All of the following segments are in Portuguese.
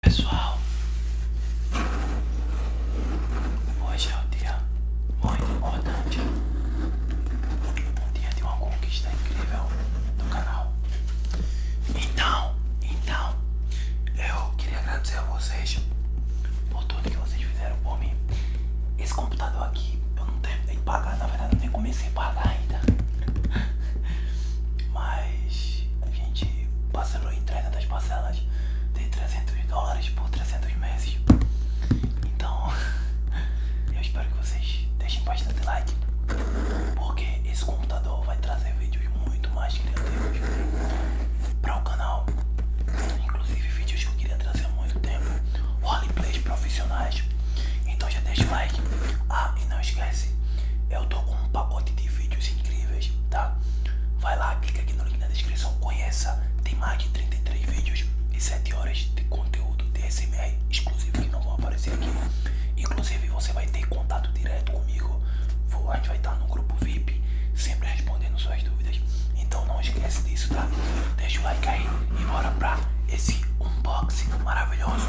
Pessoal, hoje é o dia muito importante, um dia de uma conquista incrível do canal. Então, então, eu queria agradecer a vocês por tudo que vocês fizeram por mim. Esse computador aqui eu não tenho nem pagar, na verdade eu nem comecei a pagar ainda. Mas a gente parcelou em 300 parcelas de 300 dólares por 300 meses. Então, eu espero que vocês deixem bastante like, porque esse computador vai trazer vídeos muito mais criativos para o canal. Inclusive vídeos que eu queria trazer há muito tempo, roleplays profissionais. Então já deixa o like. Ah, e não esquece, eu tô com um pacote de vídeos incríveis, tá? Vai lá, clica aqui no link na descrição, conheça. Tem mais de 33 vídeos e 7 horas de conteúdo de SMR exclusivo que não vão aparecer aqui. Inclusive, você vai ter contato direto comigo. a gente vai estar no grupo VIP, sempre respondendo suas dúvidas. Então não esquece disso, tá? Deixa o like aí e bora pra esse unboxing maravilhoso.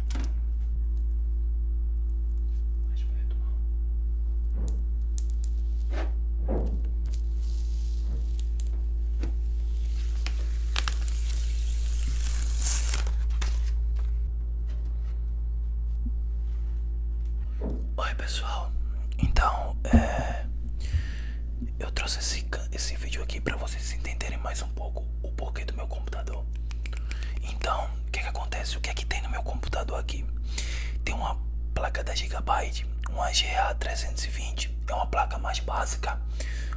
mais Oi pessoal, então é, eu trouxe esse, esse vídeo aqui para vocês entenderem mais um pouco o porquê do meu computador. Então, o que, que acontece? O que é que tem no meu computador aqui? Tem uma placa da Gigabyte, uma GA320, é uma placa mais básica,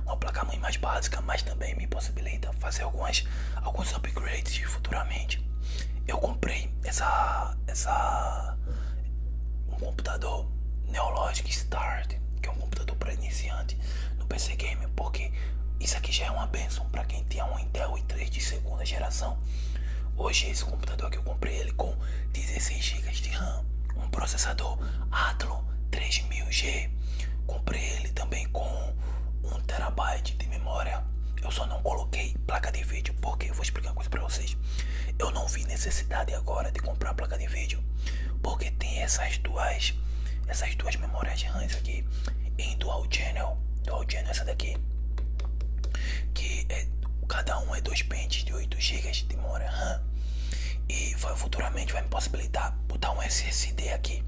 uma placa mãe mais básica, mas também me possibilita fazer algumas, alguns upgrades futuramente. Eu comprei essa, essa um computador Neologic Start, que é um computador para iniciante, no PC Game, porque isso aqui já é uma benção para quem tem um Intel i3 de segunda geração. Hoje esse computador que eu comprei ele com 16 GB de RAM, um processador Athlon 3000G. Comprei ele também com um terabyte de memória. Eu só não coloquei placa de vídeo porque eu vou explicar uma coisa para vocês. Eu não vi necessidade agora de comprar placa de vídeo porque tem essas duas essas duas memórias de RAM aqui em dual channel, dual channel essa daqui, que é, cada um é dois pentes de 8 GB de memória RAM e futuramente vai me possibilitar botar um SSD aqui,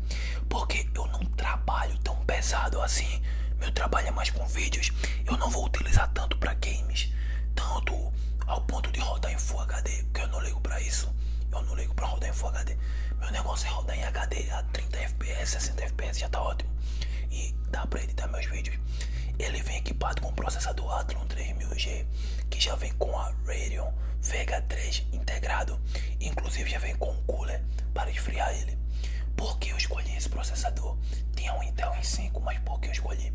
porque eu não trabalho tão pesado assim, meu trabalho é mais com vídeos, eu não vou utilizar tanto para games, tanto ao ponto de rodar em Full HD, porque eu não ligo para isso, eu não ligo para rodar em Full HD, meu negócio é em HD a 30 FPS, 60 FPS já tá ótimo. E dá para editar meus vídeos. Ele vem equipado com o processador Athlon 3000G, que já vem com a Radeon Vega 3 integrado, inclusive já vem com um cooler para esfriar ele. Porque eu escolhi esse processador? tem um Intel i5, mas por que eu escolhi?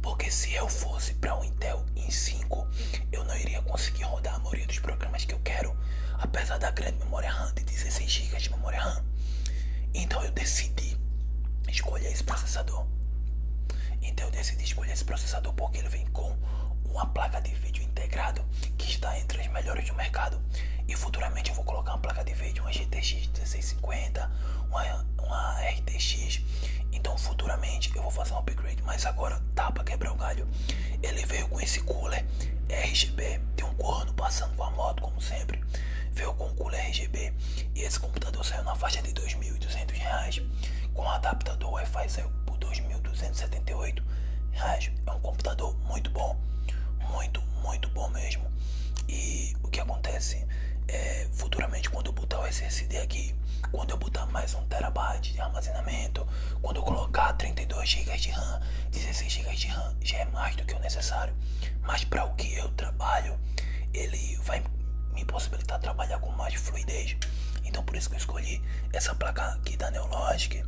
Porque se eu fosse para um Intel i5, eu não iria conseguir rodar a maioria dos programas que eu quero, apesar da grande memória RAM de 16 GB de memória RAM. Então eu decidi escolher esse processador. Então eu decidi escolher esse processador porque ele vem com uma placa de vídeo integrado que está entre as melhores do mercado. E futuramente eu vou colocar uma placa de vídeo, uma GTX 1650, uma, uma RTX. Então futuramente eu vou fazer mas agora tá para quebrar o galho. Ele veio com esse cooler RGB, tem um corno passando com a moto, como sempre. Veio com o cooler RGB e esse computador saiu na faixa de 2.200 reais. Com o adaptador Wi-Fi saiu por 2.278 reais. É um computador muito bom, muito, muito bom mesmo. E o que acontece é futuramente quando eu botar o SSD aqui quando eu botar mais um terabyte de armazenamento, quando eu colocar 32 GB de RAM, 16 GB de RAM, já é mais do que o necessário. Mas para o que eu trabalho, ele vai me possibilitar trabalhar com mais fluidez. Então por isso que eu escolhi essa placa aqui da Neologic,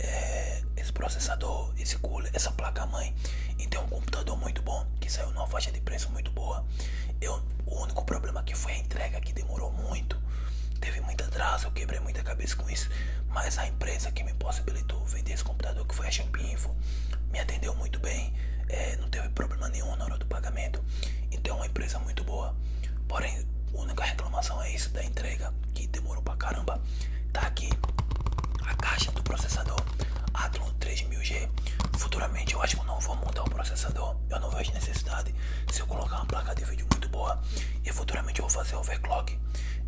é, esse processador, esse cooler, essa placa mãe. E tem um computador muito bom, que saiu numa faixa de preço muito boa. O único problema que foi a entrega que demorou muito. Teve muita atraso, eu quebrei muita cabeça com isso. Mas a empresa que me possibilitou vender esse computador, que foi a Shopping me atendeu muito bem. É, não teve problema nenhum na hora do pagamento. Então é uma empresa muito boa. Porém, a única reclamação é isso da entrega, que demorou pra caramba. Tá aqui a caixa do processador Athlon 3000G. Futuramente eu acho que não vou montar o processador. Eu não vejo necessidade. Se eu colocar uma placa de vídeo muito boa, e futuramente eu vou fazer overclock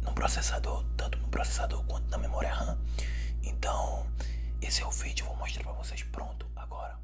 no processador, tanto no processador quanto na memória RAM. Então, esse é o vídeo, vou mostrar para vocês pronto agora.